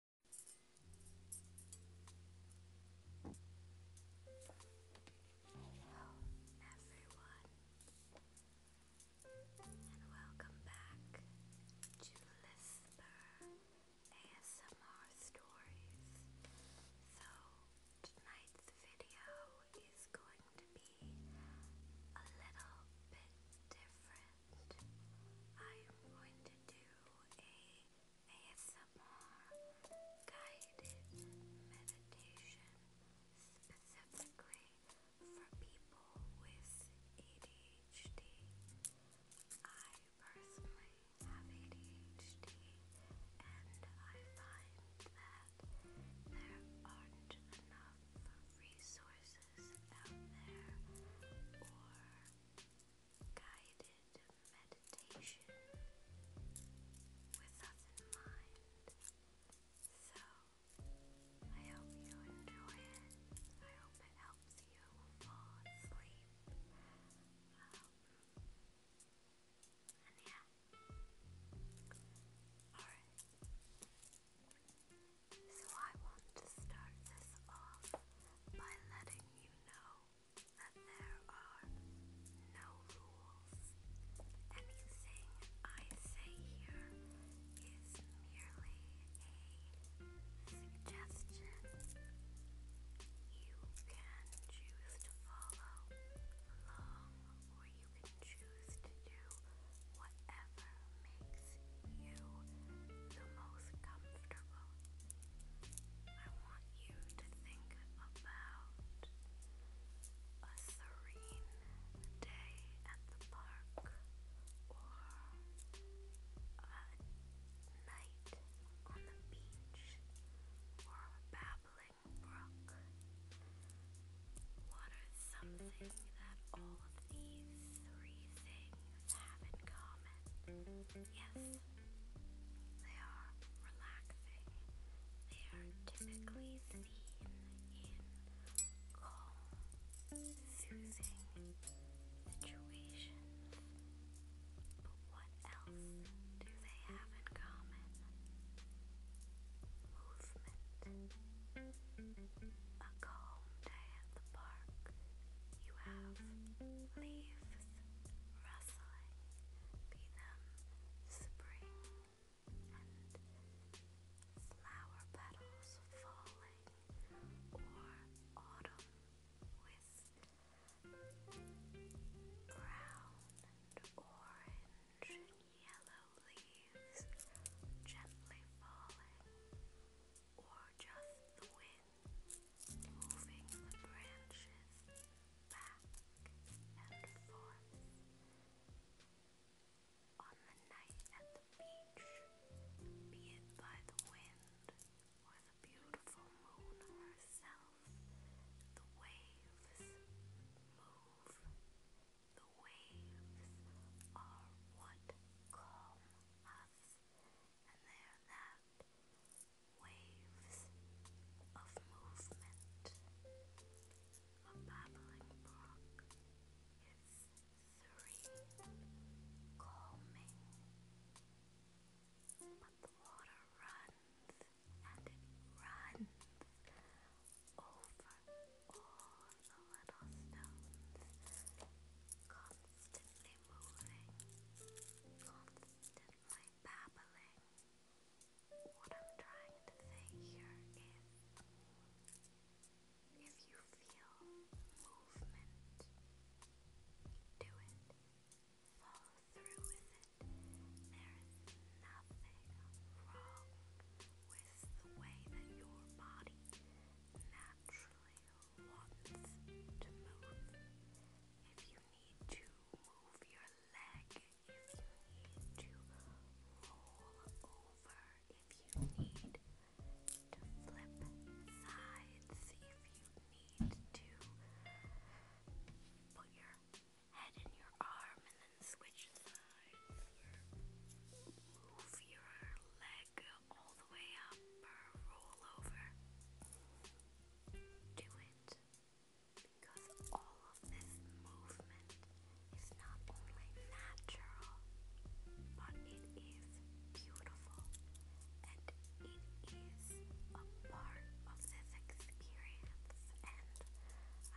Hello, everyone, and welcome back to Lisper ASMR Stories. So, tonight's video is going to be a little bit different. I am going to do a ASMR guided meditation specifically for people with ADHD. I personally have ADHD and I find that there aren't enough resources out there guided meditation with us in mind. So, I hope you enjoy it. I hope it helps you fall asleep. Um, and yeah. Alright. So, I want to start this off by letting you know that there are no rules. Anything I say here is merely a suggestion. You can choose to follow along, or you can choose to do whatever makes you the most comfortable. I want you to think about a serene day at the park or a night on the beach or a babbling brook. What are that all of these three things humans have in common. Yes, they are relaxing. They are typically seen in calm, soothing situations. But what else do they have in common? Movement. A calm day at the park you have leaves rustling, be them spring and flower petals falling, or autumn with brown and orange and yellow leaves gently falling, or just the wind moving the branches back and forth. On the night at the beach, be it by the wind or the beautiful moon herself, the waves move. The waves are what calm us and they that waves of movement. A babbling brook is serene, calming, but the water runs and it runs over all the little stones, constantly moving, constantly babbling. What I'm trying to say here is if you feel movement, do it, follow through with it. There is nothing wrong with the way that your body naturally wants to move. If you need to move your leg, if you need to roll over, if you need to flip sides, if you need to put your head in your arm and then switch sides, move your leg all the way up roll over. Do it because all of this movement is not only natural, but it is beautiful and it is a part of this experience.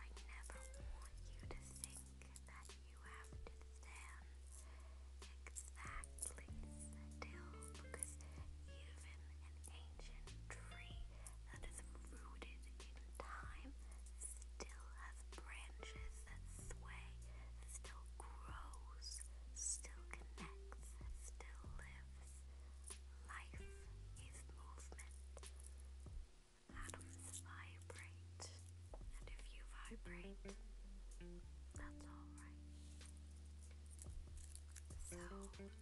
And I never want you to think that you have to stand exactly still because even an ancient tree that is rooted in time still has branches that sway, still grows, still connects, still lives. Life is movement. Atoms vibrate, and if you vibrate, that's all right. So, I'm going to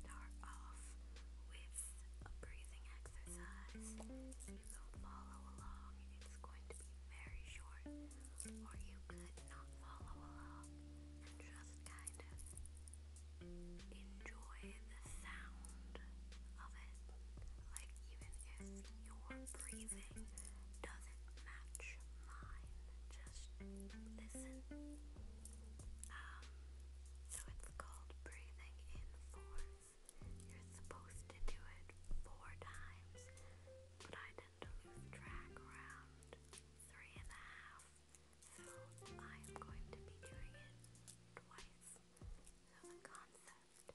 start off with a breathing exercise. You can follow along, it's going to be very short, or you could not follow along and just kind of enjoy the sound of it. Like, even if you're breathing doesn't match mine. Just listen. Um, so it's called breathing in fours. You're supposed to do it four times, but I tend to lose track around three and a half. So I'm going to be doing it twice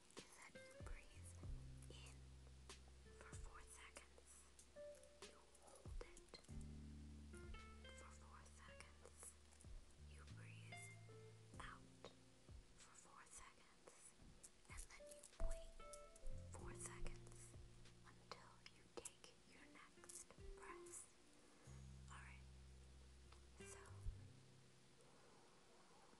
is you breathe in for four seconds, you hold it for four seconds, you breathe out for four seconds, and then you wait four seconds until you take your next breath. Alright, so.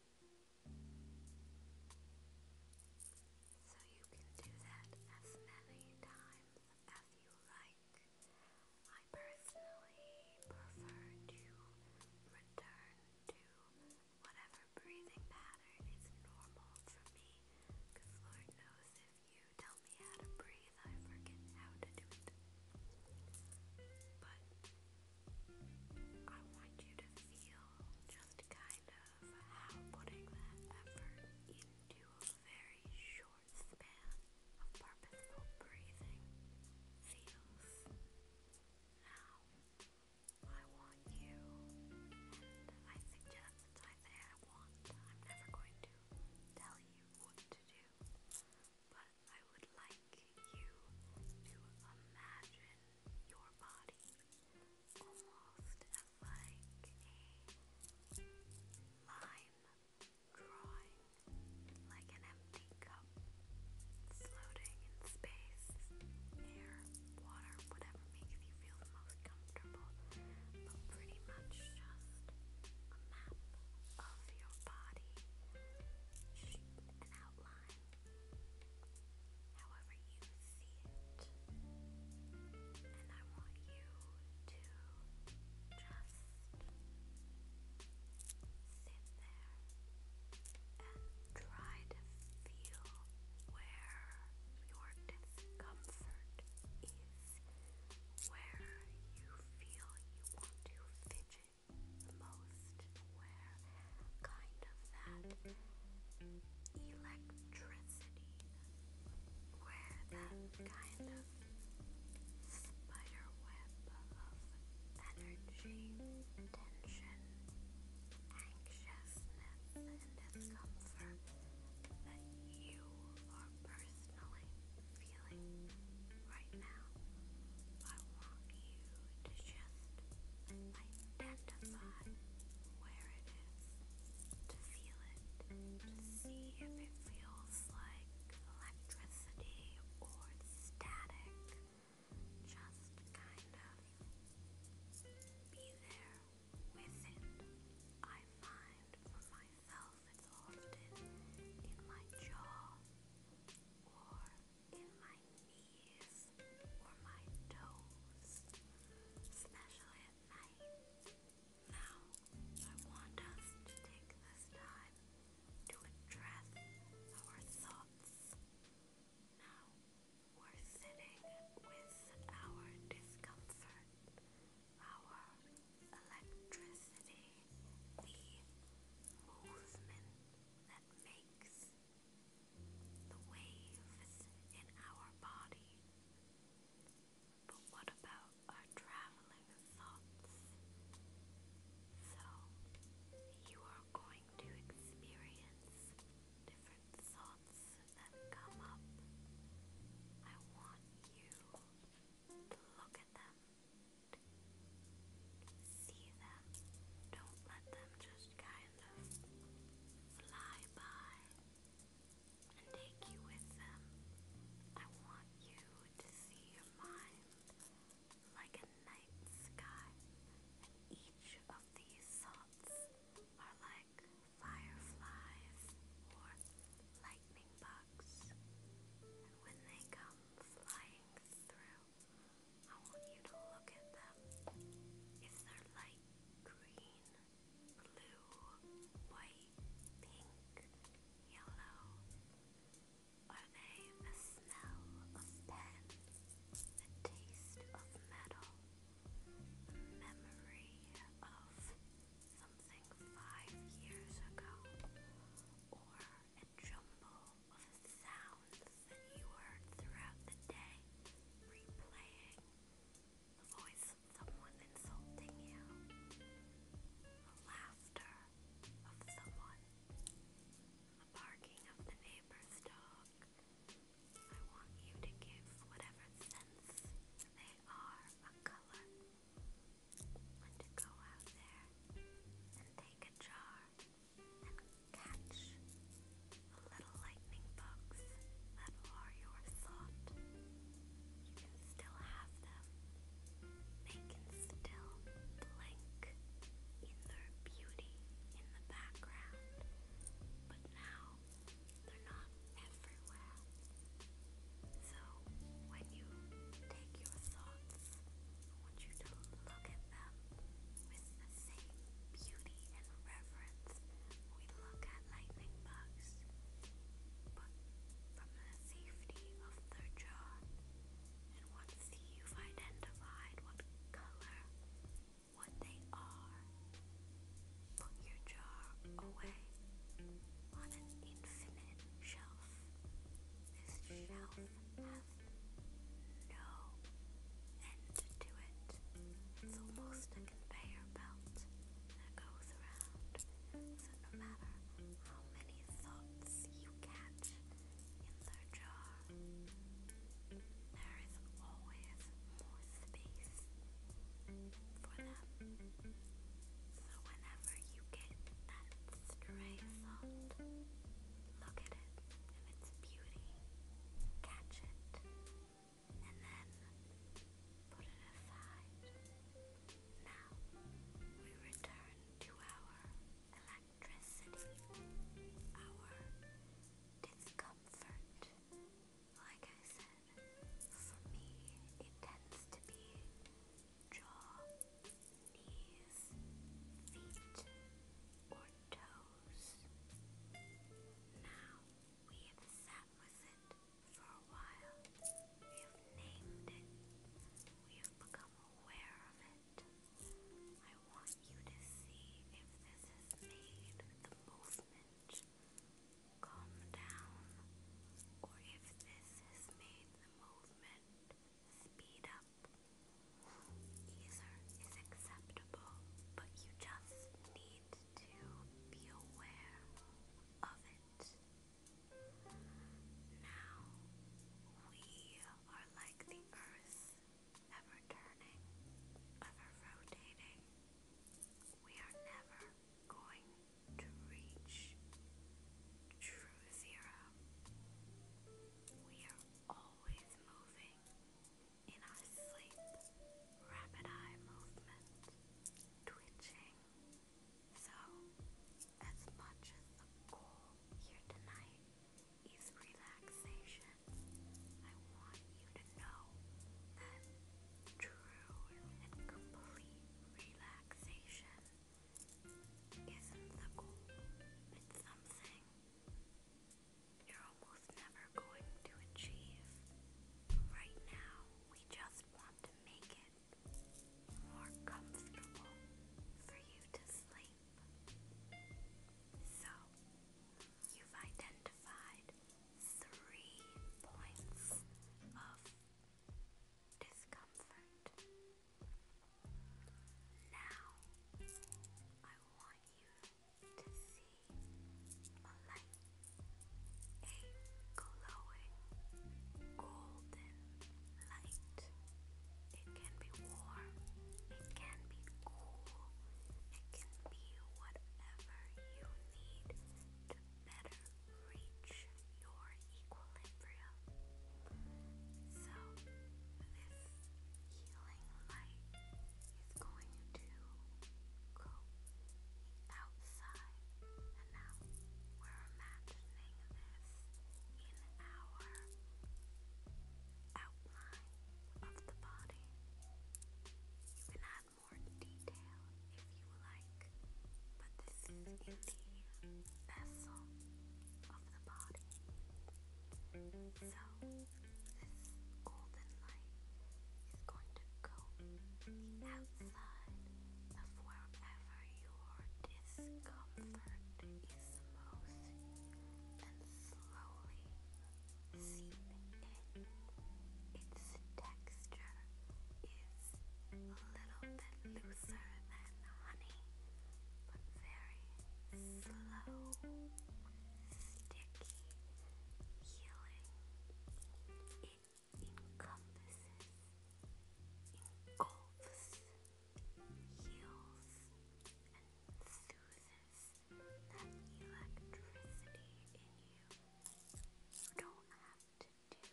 So you can do that as many times as you like. I personally prefer to return to whatever breathing pattern is normal for me, because Lord knows if you tell me how to breathe, I forget how to do it. But I want you to feel just kind of how putting that effort into a very short span of purposeful breathing feels. Now, I want you, I suggest I want, I'm never going to tell you what to do, but I would like you to imagine your body almost as like a line drawing, like an empty cup floating in space, air, water, whatever makes you feel most comfortable, but pretty much just a map of your body, an outline however you see it. And I want you to just sit there and try to feel where your discomfort is, where you feel you want to fidget most where kind of that electricity, where that kind of spider of energy, tension, anxiousness, and discomfort that you are personally feeling right now. I want you to just identify where it is, to feel it, to see if it feels like electricity or static. Just kind of be there with it. I find for myself it's often in my jaw or in my knees or my toes, especially at night. Now, I want us to take this time to address our thoughts. Now, we're sitting with our discomfort, our electricity, the movement that makes the waves in our body. But what about our traveling thoughts? So, you are going to experience different thoughts that come up. I want you to look at them, see them. Don't let them just kind of fly by and take you with them. I want you to see your like a night sky, and each of these thoughts are like fireflies or lightning bugs. And when they come flying through, I want you to look at them. If they're light green, blue, white, pink, yellow, are they the smell of pen, the taste of metal, the memory of something five years ago, or a jumble of sounds that you heard throughout the day, replaying the voice of someone insulting you, the laughter of someone, the barking of the neighbor's dog. I want you to give whatever sense they are a color. And to go out there and take a jar catch the little lightning bugs that are your thought. You can still have them. They still blink in their beauty in the background, but now they're not everywhere. So when you take your thoughts I want you to look at them with the same beauty and reverence we look at lightning bugs, but from the safety of their jaw. And once you've identified what color, what they are, put your jar away on an infinite shelf. This shelf have no end to it. It's almost a conveyor belt that goes around. So no matter how many thoughts you catch in their jar, there is always more space for them. So whenever you get that stray thought, look at it of its beauty, catch it, and then put it aside. Now we return to our electricity, our discomfort. Like I said, for me, it tends to be jaw knees, feet, or toes. Now we have sat with it for a while. We have named it. We have become aware of it. I want you to see if this has made the movement calm down or if this has made the movement speed up up. is acceptable, but you just need to be aware of it. Now, we are like the earth, ever turning, ever rotating. We are never going to reach true zero. We are always moving in our sleep, rapid eye movement, twitching. So, as much as the goal here tonight is relaxation, I want you to know that true and complete relaxation isn't the goal, it's something you're almost never going to achieve. Right now, we just want to make it more comfortable for you to sleep. So, you've identified three points of discomfort. Now, I want you to see a light, a glowing golden light. It can be warm, it can be cool, it can be whatever you need to better reach your equilibrium. So, this healing light is going to go outside, and now we're imagining this in our outline of the body. You can add more detail if you like, but this is the vessel of the So, this golden light is going to coat the outside of wherever your discomfort is most and slowly seep in. Its texture is a little bit looser than honey, but very slow, sticky healing. It encompasses, engulfs, heals, and soothes that electricity in you. You don't have to do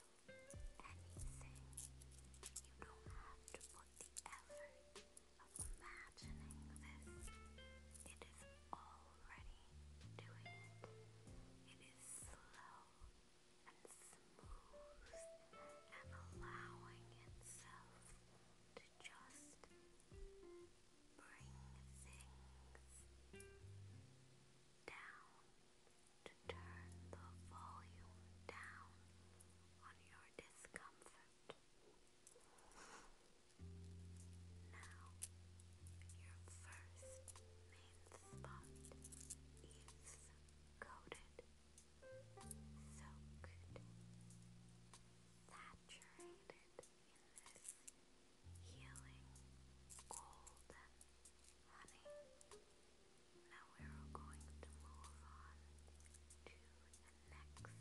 anything. You don't have to put the effort of imagining this, it is already doing it. It is slow and smooth and allowing itself to just bring things down, to turn the volume down on your discomfort. Now, your first main spot is coated, soaked, saturated in this healing golden honey. Now we are going to move on to the next spot.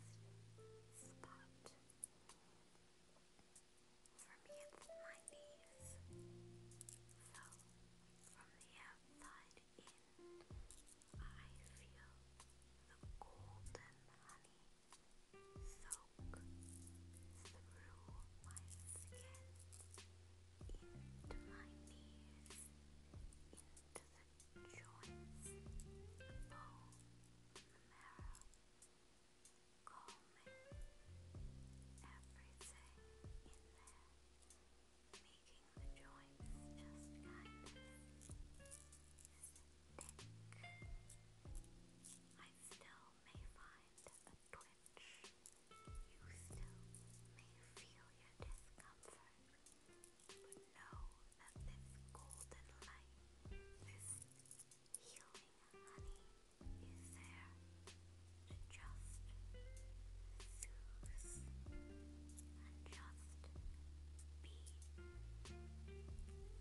For me, it's my knees. So, from the outside in, I feel the golden honey soak through my skin, into my knees, into the Joyce, Paul, Mara, call Everything in there, making the joints just kind of stick. I still may find a twitch. You still may feel your discomfort. But know that this golden light, this healing honey, is there to just soothe and just be.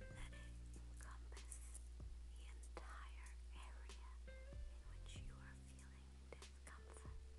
Let it encompass the entire area in which you are feeling discomfort.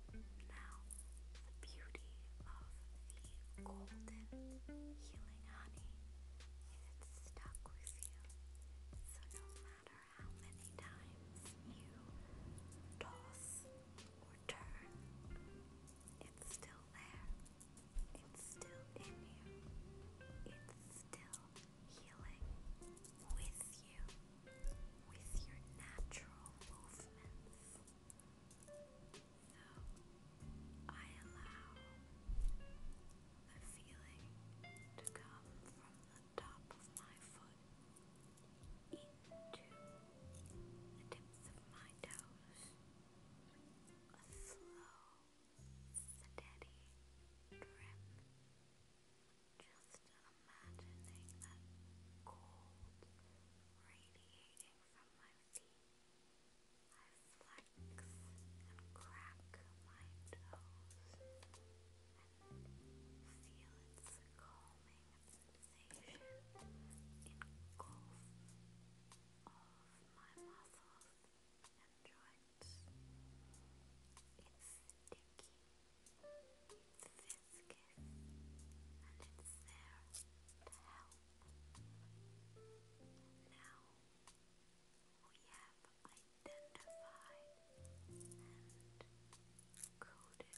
Now, the beauty of the golden healing honey is it's stuck with you. So no matter how many times you toss or turn, it's still there. It's still in you. It's still healing with you with your natural movements. I allow the feeling to come from the top of my foot into the tips of my toes. A slow, steady drip just imagining that cold radiating from my feet. I flex and crack my toes and feel its calming sensation engulf all of my muscles and joints. It's sticky viscous and it's there to help. Now we have identified and coded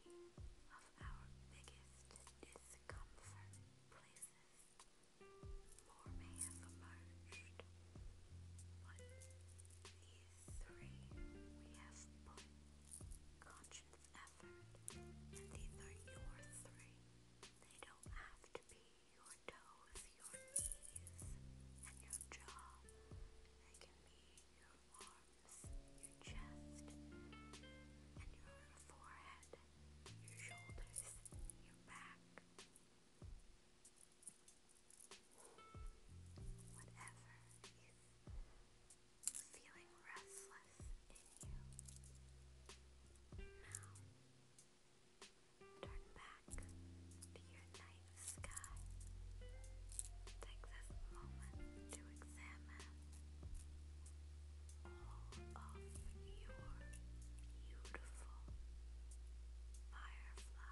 three of our biggest discomfort places. More may have emerged, but these three we have conscious effort, and these are your three. They don't have to be your toes, your knees, and your jaw. They can be your arms, your chest, and your forehead, your shoulders, your back whatever is feeling restless in you. Now, turn back to your night sky. Take this moment to examine all of your beautiful fireflies.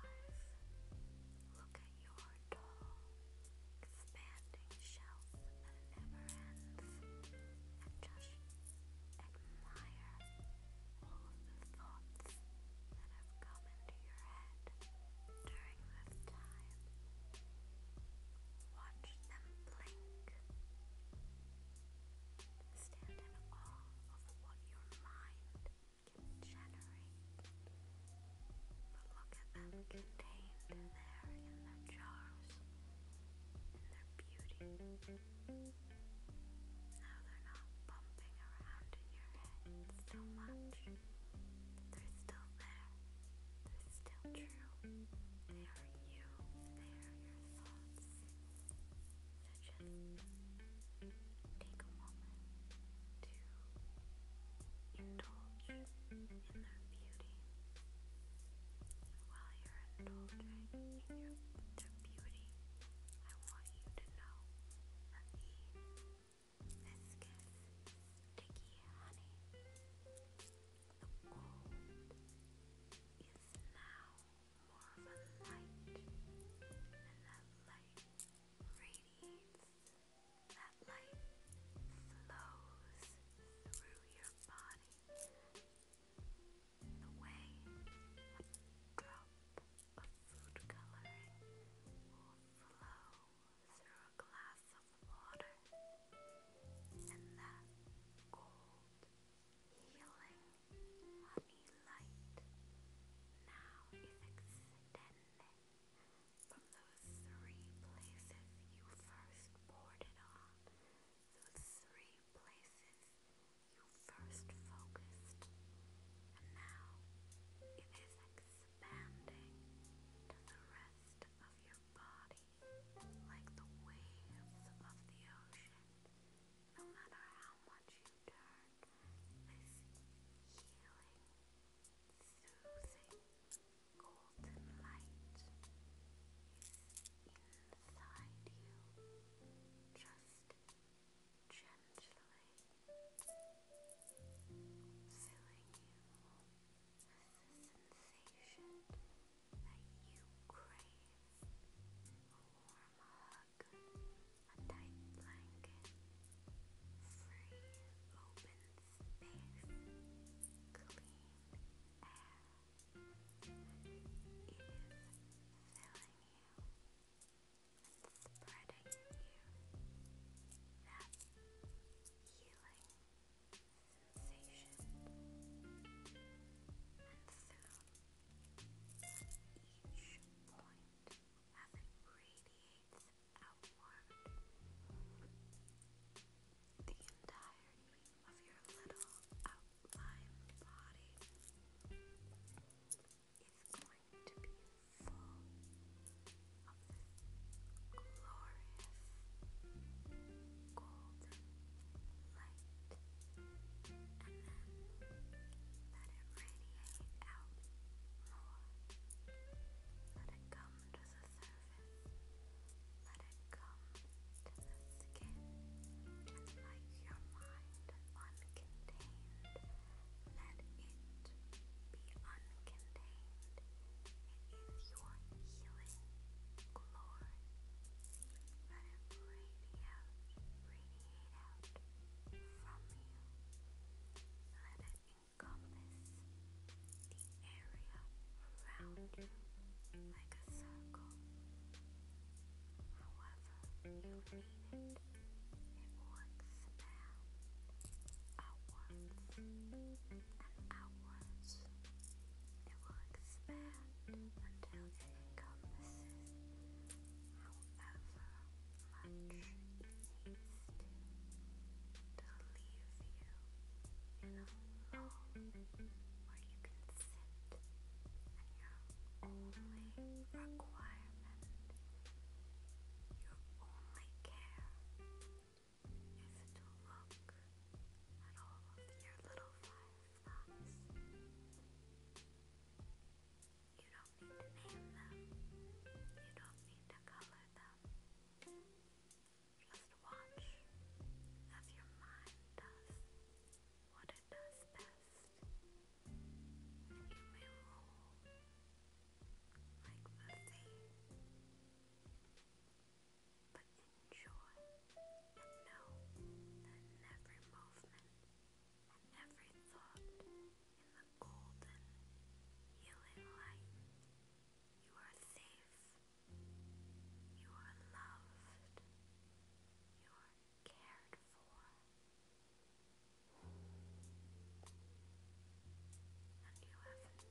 Look your tall, expanding shelf that never ends, just admire all the thoughts that have come into your head during this time. Watch them blink. Stand in awe of what your mind generate. But look at them contained there in their jars, in their beauty. Now they're not bumping around in your head so much. They're still there. They're still true. They are you. They are your thoughts take a moment to indulge in their beauty. While you're indulging in their beauty, I want you to know that the viscous, sticky honey, the gold, is now more of a light, and that light radiates that light flows through your body the way a drop of food coloring will flow through a glass of water, and that cold, healing honey light now is extending. Through from those three places you first boarded on, those three places you first focused, and now it is expanding to the rest of your body like the waves of the ocean. No matter how much you turn, this healing soothing golden light inside you, just gently filling you with the sensation that you crave a warm hug, a tight blanket, free open space, clean air. It is filling you spreading you that healing sensation and soon each point as it radiates outwarmed the entirety of your little outlined body is going to be full of glorious golden light and then let it radiate out let it come to the surface. Let it come to the skin. Just like your mind uncontained. Let it be uncontained. It is your healing glory. Let it radiate radiate out from you. Let it Encompass the area around you like a circle. However, you need it. It works now. Outwards and outwards. It will expand until it encompasses however much haste to leave you in a room where you can sit and your only requirement, your only care is to look at all of your little fireflies. You don't need to name them. You don't need to color them. Just watch as your mind does what it does best. you may roll like Muffy. But enjoy and know that every movement every thought in the golden healing light. You are safe. You are loved. You are cared for. And you have nothing you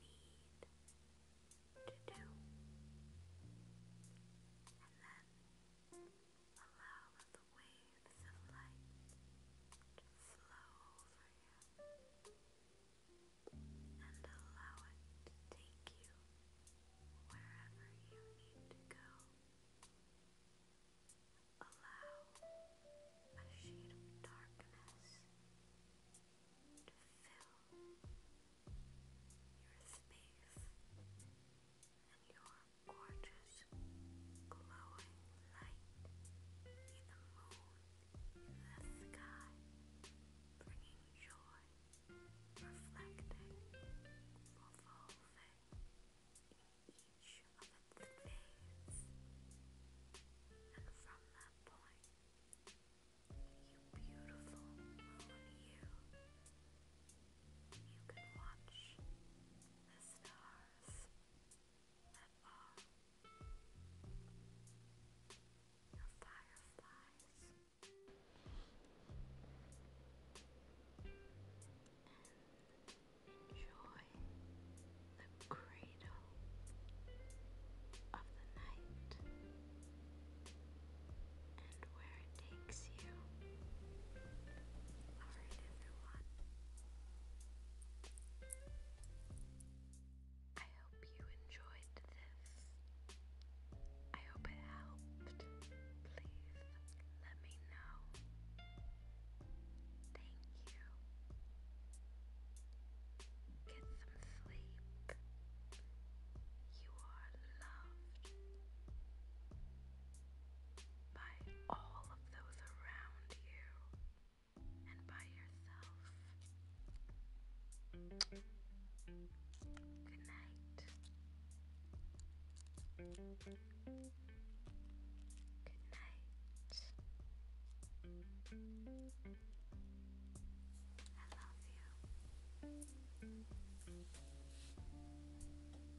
need to do. And then Allow the waves of light flow over you and allow it to take you wherever you need to go. Allow a sheet of darkness to fill your space and your gorgeous, glowing light in the moon, the sky, bringing joy, reflecting, in each of its phase. And from that point, you beautiful moon, you you can watch the stars that fireflies. enjoy the cradle of the night and where it makes you. Alright, everyone. I hope you enjoyed this. I hope it helped. Please let me know. Thank you. Get some sleep. You are loved by all of those around you and by yourself. Good night. Good night. I love you.